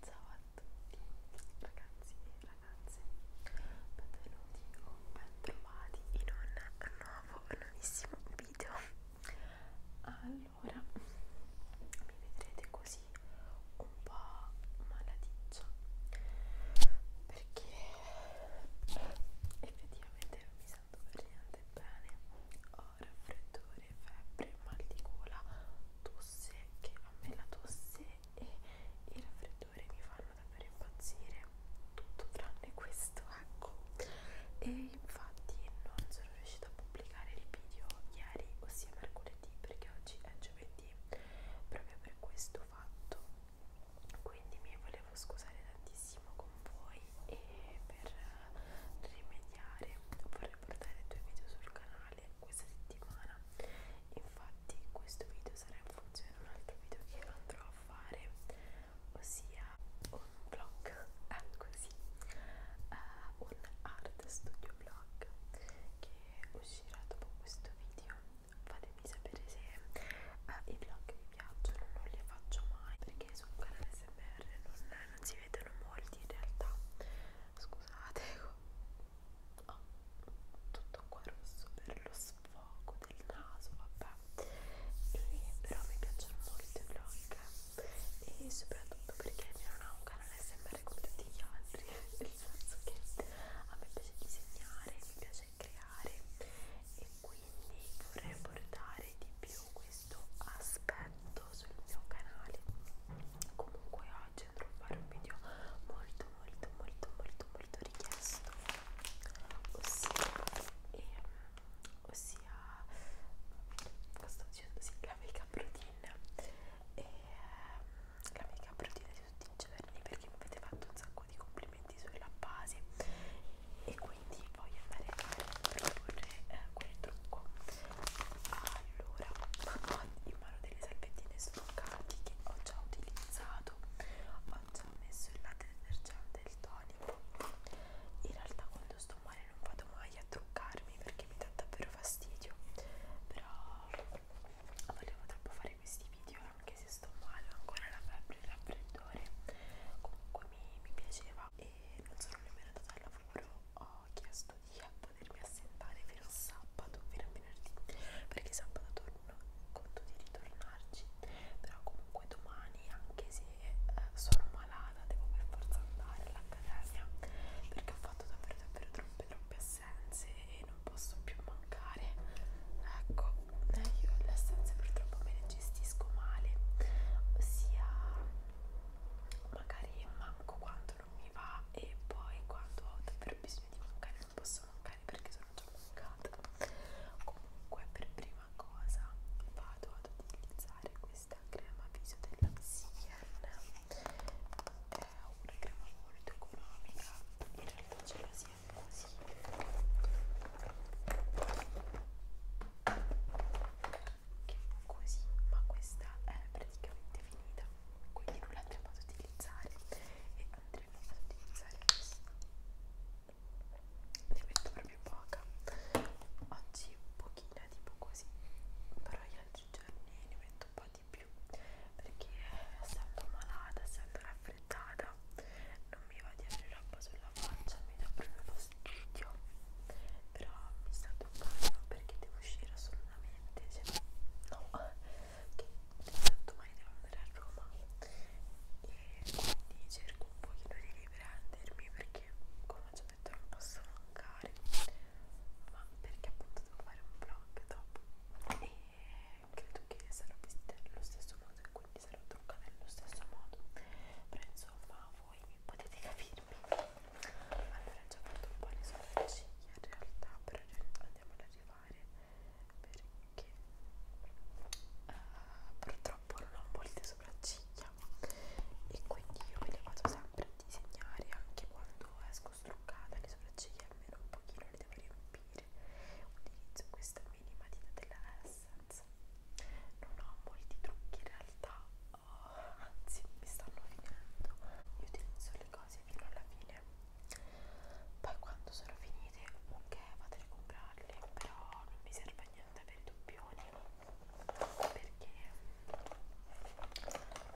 Ciao a tutti ragazzi e ragazze, benvenuti o bentrovati in un nuovo, nuovissimo video. Allora, mi vedrete così un po' malaticcia perché effettivamente non mi sento per niente bene. Ho raffreddore, febbre, mal di gola, tosse che a me la tosse e il raffreddore mi fanno davvero impazzire tutto tranne questo ecco e infatti non sono riuscita a pubblicare il video ieri ossia mercoledì perché oggi è giovedì proprio per questo fatto quindi mi volevo scusare tantissimo con voi e per rimediare vorrei portare due video sul canale canale questa settimana infatti questo video sarà in funzione di un altro video che andrò a fare ossia un vlog ah, eh, così uh, un art studio vlog che uscirà dopo questo video fatemi sapere se uh, i vlog vi piacciono non li faccio mai perché su un canale smr non, non si vedono molti in realtà scusate ho tutto qua rosso per lo sfogo del naso vabbè e però mi piacciono molto i vlog e soprattutto perché il mio non ha un canale SMR come tutti gli altri nel senso che a me piace disegnare mi piace creare e quindi vorrei portare di più questo questo aspetto sul mio canale comunque oggi andrò a fare un video molto molto molto molto molto richiesto ossia, eh, ossia cosa dicendo? Sì, la make-up routine e eh, la make-up routine di tutti i giorni perché mi avete fatto un sacco di complimenti sulla base e quindi voglio andare a proporre eh, quel trucco allora ho in mano delle salvettine stroncati che ho già utilizzato ho già messo il latte detergente e il tonico in realtà quando sto male non vado mai a truccarmi perché mi dà davvero fastidio però volevo troppo fare questi video anche se sto male ho ancora la febbre il raffreddore comunque mi, mi piaceva e non sono nemmeno andata al lavoro, ho chiesto di potermi assentare fino a sabato, fino a venerdì, perché sabato torno, conto di ritornarci, però comunque domani, anche se eh, sono malata, devo per forza andare all'accademia, perché ho fatto davvero davvero troppe troppe assenze e non posso più mancare, ecco, eh, io le assenze purtroppo me le gestisco male, ossia magari manco quando non mi va e poi quando ho davvero bisogno di mancare non posso mancare perché sono già mancata comunque per prima cosa vado ad utilizzare questa crema viso della Sien è una crema molto economica in realtà ce la si è così così ma questa è praticamente finita quindi non l'andremo ad utilizzare e andremo ad utilizzare questa ne metto proprio poca oggi pochina tipo così però gli altri giorni ne metto un po' di più perché essendo malata essendo raffreddata non mi va di avere roba sulla faccia mi dà proprio fastidio video però mi sto toccando perché devo uscire assolutamente se cioè, no che domani devo andare a Roma e quindi cerco un pochino di riprendermi perché come ho già detto non posso mancare ma perché appunto devo fare un vlog dopo e credo che sarò vista nello stesso modo e quindi sarò truccata nello stesso modo però insomma voi potete capirmi allora ho già fatto un po' di sorprese in realtà però andiamo ad arrivare perché uh, purtroppo non ho molte sopracciglia e quindi io me le vado sempre a disegnare anche quando esco struccata le sopracciglia almeno un pochino le devo riempire utilizzo questa mini matita della S abbastanza non ho molti trucchi in realtà oh, anzi mi stanno finendo io utilizzo le cose fino alla fine poi quando sono finite ok vado a comprarle però non mi serve niente per i doppioni perché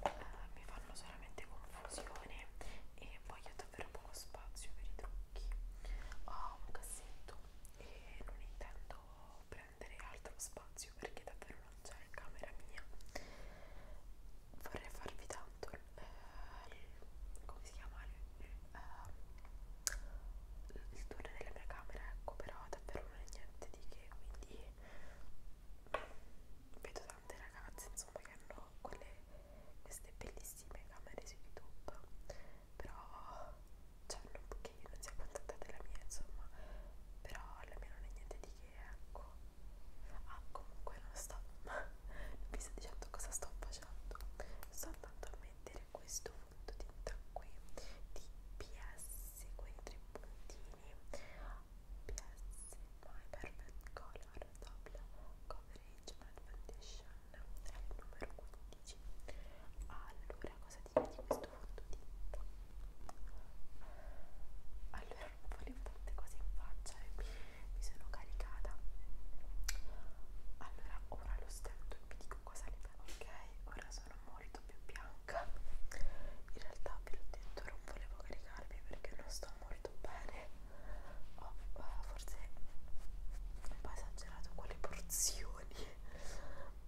eh, mi fanno solamente confusione e voglio davvero poco spazio per i trucchi ho un cassetto e non intendo potuto prendere altro spazio perché davvero non c'è in camera mia vorrei farvi tanto eh, come si chiama eh, il tour della mia camera ecco però davvero non è niente di che quindi vedo tante ragazze insomma che hanno quelle, queste bellissime camere su youtube però cioè non, che io non sia contenta della mia insomma però la mia non è niente di che ecco ah comunque non sto non vi sto dicendo cosa sto facendo sto andando a mettere questo fondotinta qui di PS quei tre puntini PS My Perfect Color Double Coverage Matte Foundation è il numero 15 allora cosa dire di questo fondotinta? allora non volevo tante cose in faccia e eh, mi, mi sono caricata allora ora lo stento e vi dico cosa ne farò ok ora sono molto più bianca in realtà vi ho detto non volevo caricarmi perché non sto molto bene ho oh, forse un po' esagerato con le porzioni canzoni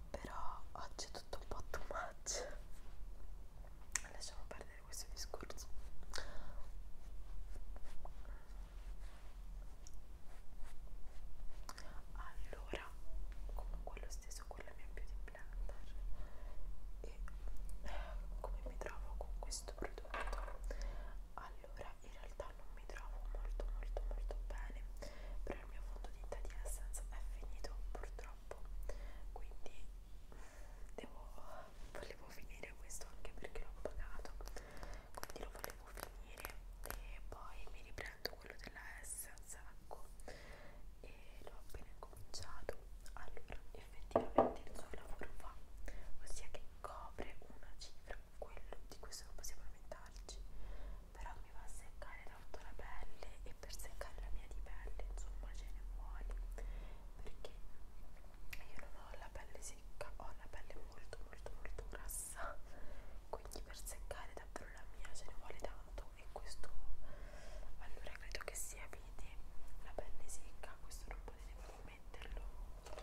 però oggi è tutto un po' too much lasciamo perdere questo discorso allora comunque lo stesso con la mia beauty planner e eh, come mi trovo con questo prodotto allora in realtà non mi trovo molto molto molto bene però il mio fondo tinta di Essence è finito purtroppo quindi devo, volevo finire questo anche perché l'ho pagato quindi lo volevo finire e poi mi riprendo quello della Essence ecco e l'ho appena cominciato allora effettivamente il suo lavoro fa ossia che copre una cifra quello di questo non possiamo lamentarci però mi va a seccare tanto la pelle e per seccare la mia di pelle insomma ce ne vuole perché io non ho la pelle secca ho la pelle molto molto molto grassa quindi per seccare davvero la mia ce ne vuole tanto e questo allora credo che sia vede la pelle secca questo non potete proprio metterlo un po'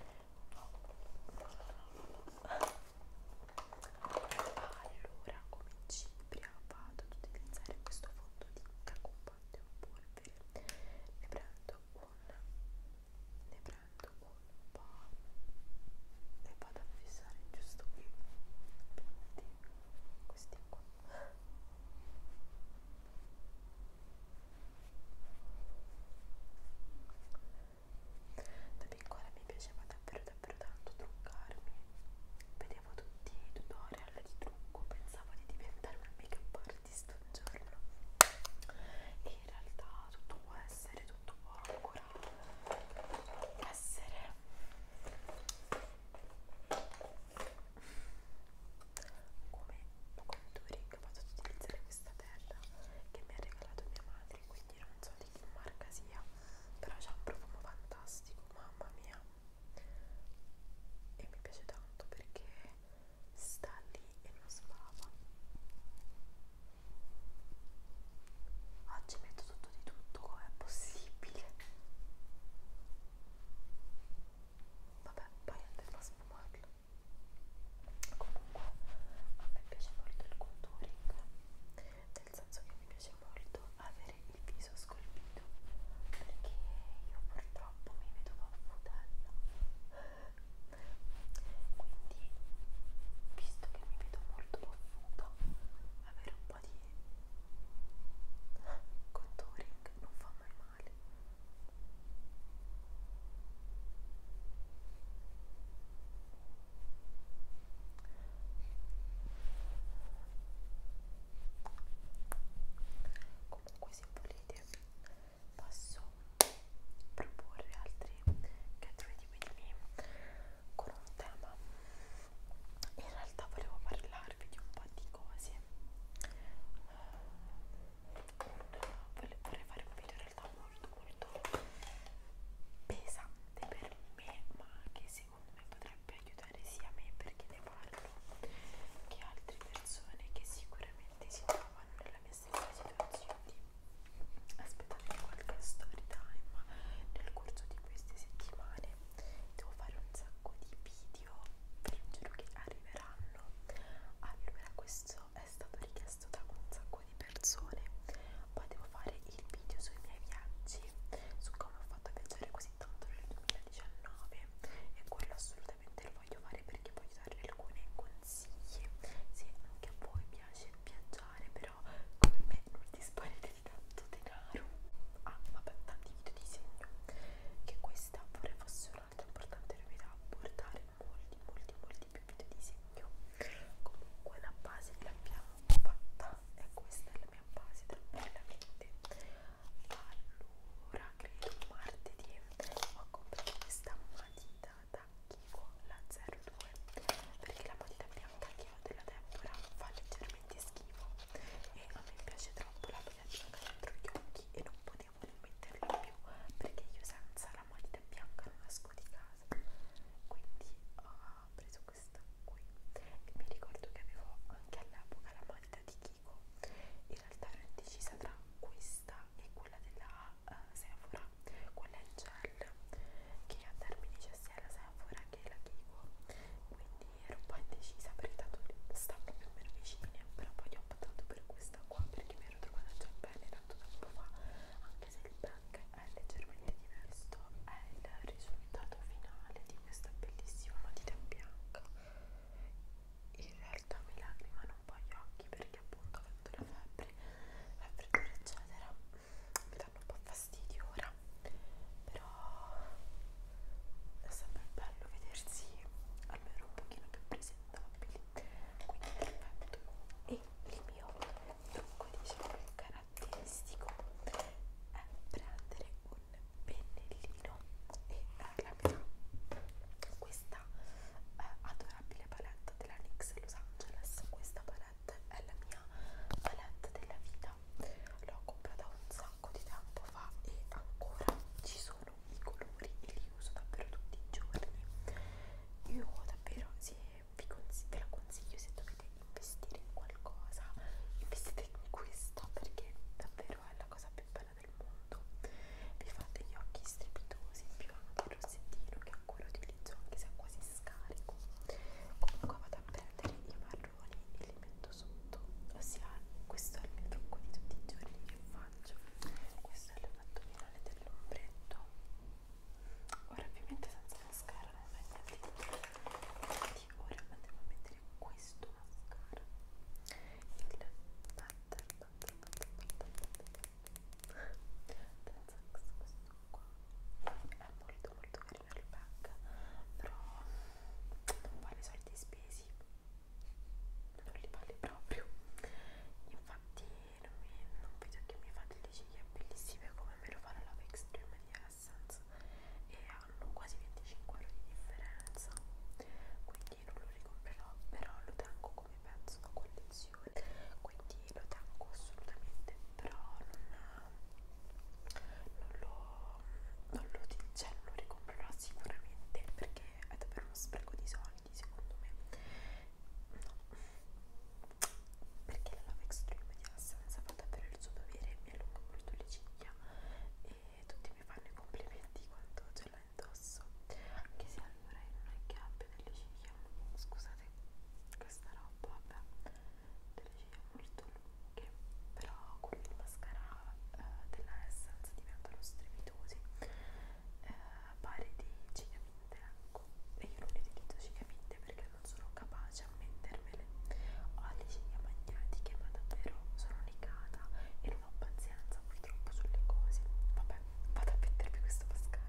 allora come cipria vado ad utilizzare questo fondo di cacopatte un polvere ne prendo un ne prendo un po' e vado a fissare giusto qui questi qua da piccola mi piaceva davvero davvero tanto truccarmi. Vedevo tutti i tutorial di trucco, pensavo di diventare una make-up artist un giorno. E in realtà tutto può essere, tutto può ancora essere come contouring ho fatto utilizzare questa terra che mi ha regalato mia madre quindi non so di che marca sia però c'ha un profumo fantastico mamma mia e mi piace tanto perché sta lì e non sbava oggi metto tutto di tutto come è possibile vabbè poi andremo a sfumarlo comunque a me piace molto il contouring nel senso che mi piace molto avere il viso scolpito perché io purtroppo mi vedo papputella quindi visto che mi vedo molto paffuta avere un po' di contouring non fa mai male comunque se volete posso proporre altri get ready with me con un tema in realtà volevo parlarvi di un po' di cose vorrei fare un video in realtà molto molto pesante per me ma che secondo me potrebbe aiutare sia me perché ne parlo che altre persone che sicuramente si trovano nella mia stessa situazione aspettate qualche story time nel corso di queste settimane devo fare un sacco di video vi giuro che arriveranno allora questo questo è stato richiesto da un sacco di persone poi devo fare il video sui miei viaggi su come ho fatto a viaggiare così tanto nel 2019 e quello assolutamente lo voglio fare perché voglio dare alcuni consigli se anche a voi piace viaggiare però come me non disponete di tanto denaro ah vabbè tanti video di segno che questa vorrei fosse una l'altro importante che mi da portare molti molti molti più video di disegno comunque la base l'abbiamo fatta e questa è la mia base tranquillamente allora credo martedì ho comprato questa matita da Kiko la 02 perché la matita bianca che ho della Deborah fa leggermente schifo e a me piace troppo la matita bianca dentro gli occhi e non potevo devo non metterlo più perché io senza la matita bianca non esco di casa quindi ah, ho preso questa qui e mi ricordo che avevo anche all'epoca la matita di Kiko in realtà ero indecisa tra questa e quella della uh, Sephora quella in gel che a termini c'è sia la Sephora che la Kiko quindi ero un po' indecisa perché tanto sta proprio meno vicine però poi ho optato per questa qua perché mi ero trovata già bene tanto tempo fa anche se il pack è leggermente diverso è il risultato finale di questa bellissima matita bianca in realtà mi lacrimano un po' gli occhi perché appunto avendo la febbre la freddura eccetera mi danno un po' fastidio ora però è sempre bello vedersi almeno un pochino più presentabili quindi perfetto e il mio trucco diciamo caratteristico è prendere un pennellino e la mia questa eh, adorabile palette della NYX Los Angeles questa palette è la mia palette della vita l'ho comprata un sacco di tempo fa e ancora ci sono sono i colori e li uso davvero tutti i giorni io davvero se vi ve la consiglio se dovete investire in qualcosa investite in questa perché davvero è la cosa più bella del mondo vi fate gli occhi strepitosi più anche il rossettino che ancora utilizzo anche se è quasi scarico comunque vado a prendere i marroni e li metto sotto ossia questo è il mio trucco di tutti i giorni che faccio questo è l'effetto finale dell'ombretto ora ovviamente senza mascara non va niente quindi ora andiamo a mettere questo mascara il butter butter butter butter butter questo qua è molto molto carino il pack però non fa i soldi spesi non li vale proprio infatti non, mi, non vedo che mi fate le ciglia bellissime come me lo fanno la Love Extreme di Essence e hanno quasi 25 euro di differenza quindi non lo ricomprerò però lo tengo come pezzo da collezione quindi lo tengo assolutamente però non, non lo non lo, cioè, lo ricomprerò sicuramente perché è davvero uno spreco di soldi secondo me no. perché la Love Extreme di Assenza fa davvero il suo dovere mi allunga molto le ciglia e tutti mi fanno i complimenti quando ce l'ho indosso anche se allora io non è che abbia delle ciglia scusate questa roba vabbè delle ciglia molto lunghe che però con il mascara eh, della Essence diventano strepitosi eh, pari di cicaminte ecco e io non utilizzo cicaminte perché non sono capace a mettermele ho le ciglia magnetiche ma davvero sono legata e non ho pazienza purtroppo sulle cose vabbè vado a mettermi questo mascara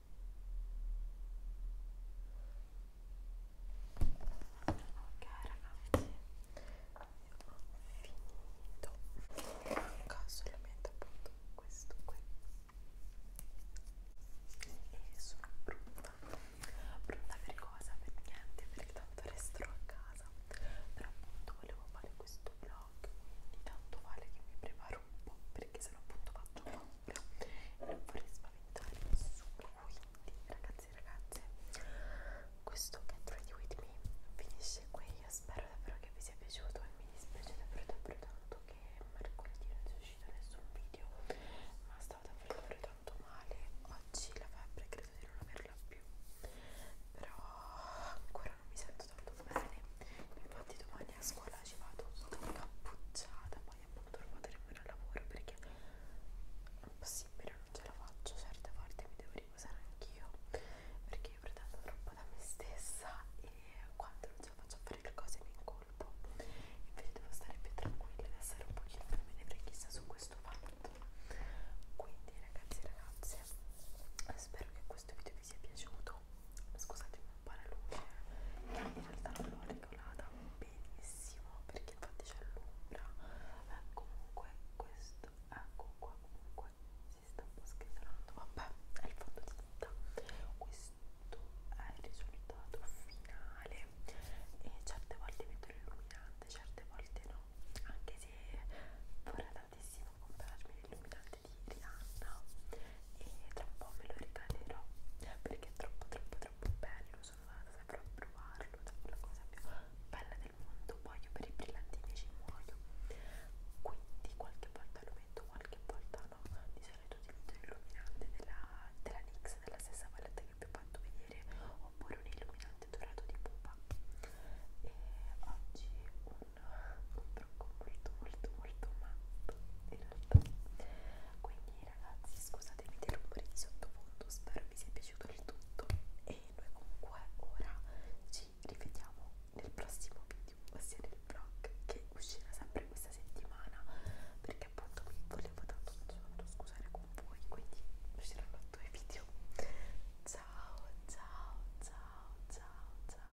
ok ragazzi io ho finito manca solamente appunto questo qui e sono brutta brutta per cosa? per niente perché tanto resterò a casa però appunto volevo fare questo vlog quindi tanto vale che mi preparo un po' perché sennò appunto faccio un po' no, non vorrei spaventare nessuno quindi ragazzi e ragazze questo Get Ready With Me finisce qui io spero davvero che vi sia piaciuto e mi dispiace davvero davvero tanto che mercoledì non sia uscito nessun video ma stavo davvero davvero tanto male oggi la febbre credo di non averla più però ancora non mi sento tanto bene infatti domani a scuola ci vado tutta cappucciata poi appunto ho provato a rimanere al lavoro perché è impossibile, non ce la faccio certe volte mi devo riposare anch'io perché io pretendo troppo da me stessa e quando non ce la faccio a fare le cose mi incolpo invece devo stare più tranquilla ed essere un pochino più menefreghista su questo fatto quindi ragazzi e ragazze spero che questo video vi sia piaciuto scusatemi buona luce che in realtà non l'ho regolata benissimo perché infatti c'è l'ombra eh, comunque questo ecco qua comunque si sta un po' scricchiolando vabbè è il fondotinta questo è il risultato finale e certe volte metto l'illuminante certe volte no anche se vorrei tantissimo comprarmi l'illuminante di Rihanna e tra un po' me lo regalerò perché è troppo troppo troppo bello sono andata sempre a provarlo è la cosa più bella del mondo poi io per i brillantini ci muoio quindi qualche volta lo metto qualche volta no di solito utilizzo l'illuminante della, della NYX della stessa palette che vi ho fatto vedere oppure un illuminante dorato di pupa e oggi un un trucco molto molto molto matto in realtà quindi ragazzi scusatemi dei rumori di sottofondo spero vi sia piaciuto il tutto e noi comunque ora ci rivediamo nel prossimo video ossia nel vlog che uscirà sempre questa settimana perché appunto mi volevo tanto tanto scusare con voi quindi usciranno due video ciao ciao ciao ciao ciao ciao